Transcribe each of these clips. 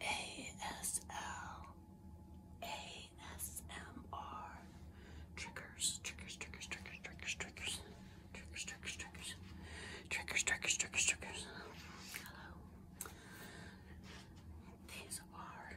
Hello. ASL. ASMR. Triggers, triggers, triggers, triggers, triggers, triggers. Triggers, triggers, triggers. Triggers, triggers, triggers, triggers. Hello. These are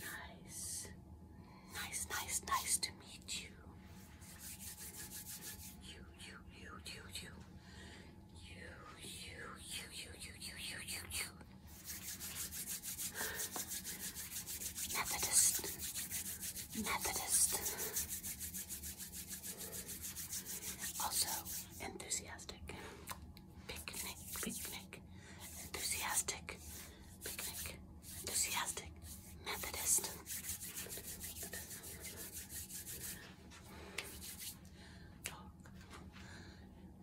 Nice. Nice, nice, nice to meet you. You, you, you, you, you. You, you, you, you, you, you, you, you, you. Methodist. Methodist. Also, enthusiastic. Picnic, picnic. Enthusiastic. Picnic. Enthusiastic. Methodist. Dog.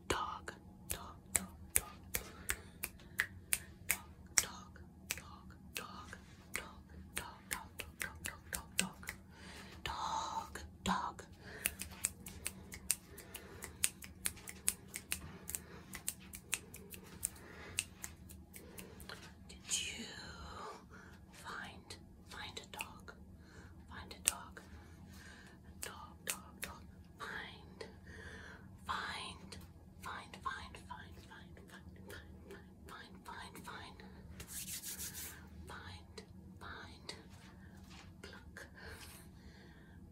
Dog. Dog. Dog. Dog. Dog dog, dog. Did you find find a dog? Find a dog. Dog, dog, dog. find, find, find, find, find, find, find, find. Find, find, find. Find, find. Pluck.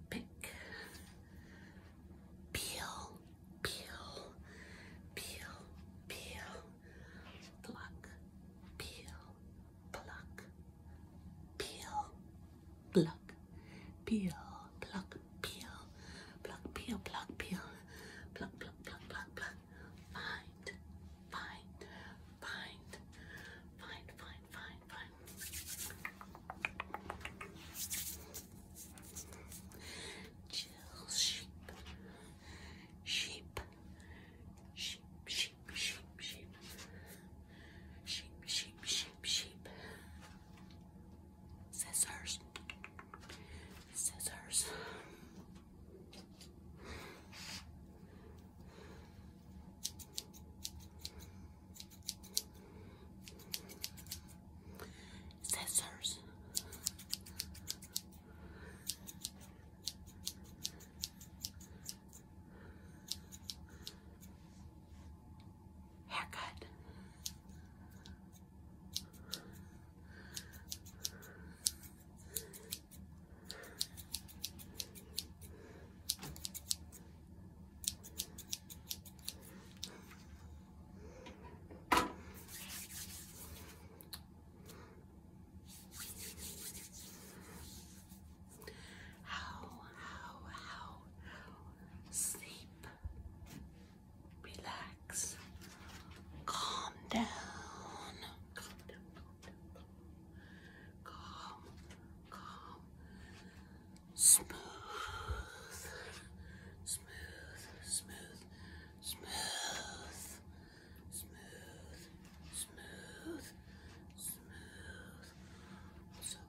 Pick. Peel, peel, peel, peel. Pluck, peel, pluck. Peel, pluck. Peel, pluck pluck, peel, pluck, peel, pluck, peel, pluck, pluck, pluck, pluck, pluck, find, find, find, find, find, find, find. Chill sheep, sheep, sheep, sheep, sheep, sheep, sheep, sheep, sheep, sheep. sheep. Scissors. Scissors. Scissors. Haircut. How, how, how, sleep relax, calm down, calm down, calm calm, calm, smooth, smooth, smooth, smooth, smooth, smooth, smooth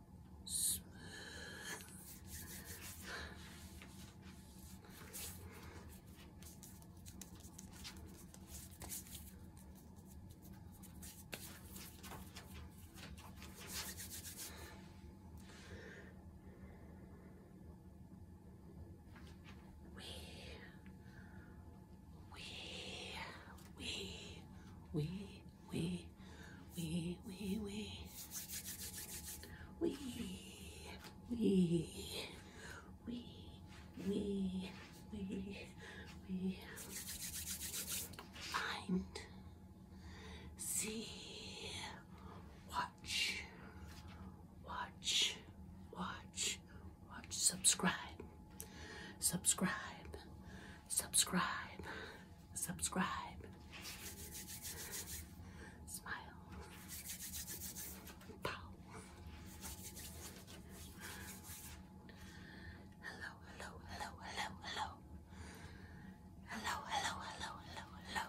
we we, we, we, we, we, we, we, we, we, we, find, see, watch, watch, watch, watch, subscribe, subscribe, subscribe, subscribe, smile, Hello, hello, hello, hello, hello. Hello, hello, hello,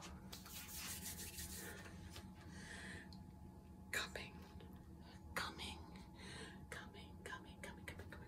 coming, coming, coming, coming, coming, coming,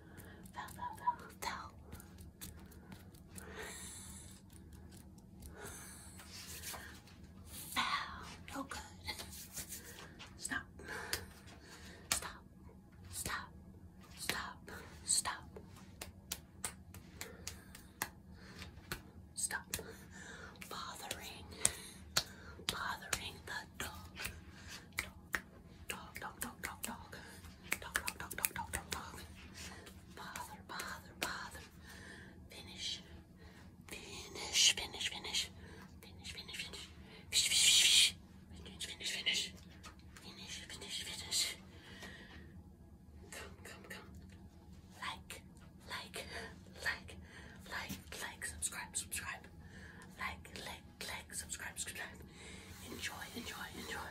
fell, fell, fell, fell. No good. Stop. Stop. Stop. Stop. Stop. Stop bothering. Bothering the Dog. Dog, dog, dog, dog, dog. Dog, dog, dog, dog, dog, dog, dog. Bother, bother, bother. Finish. Finish, finish, finish. Finish, finish, finish. Fish, fish, fish. Finish, finish, finish. Finish, finish, finish. Come, come, come. Like, like, like, like, like, subscribe, subscribe. Like, like, click, subscribe, subscribe. Enjoy, enjoy, enjoy.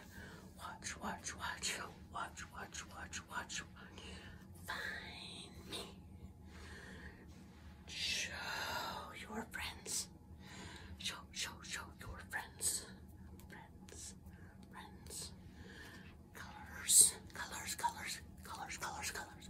Watch, watch, watch, watch, watch, watch, watch. Find me. Show your friends. Show, show, show your friends. Friends, friends. Colors, colors, colors, colors, colors, colors.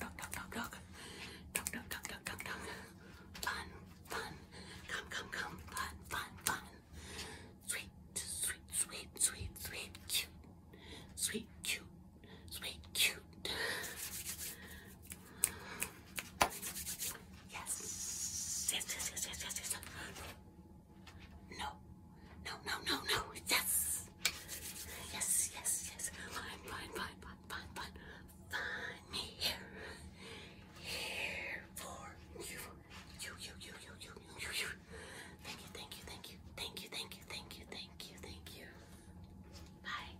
dog, dog, dog, dog, dog, dog, dog, dog, dog, dog, fun, fun, come, come, come, fun, fun, fun, sweet, sweet, sweet, sweet, sweet, cute, sweet, cute, sweet, cute. Yes, yes, yes, yes, yes, yes, yes. No, no, no, no, no, yes. Yes, yes, yes. Fine, fine, fine, fine, fine, fine. Find me here. Here for you. You, you, you, you, you, you, you. Thank you, thank you, thank you. Thank you, thank you, thank you, thank you, thank you. Bye.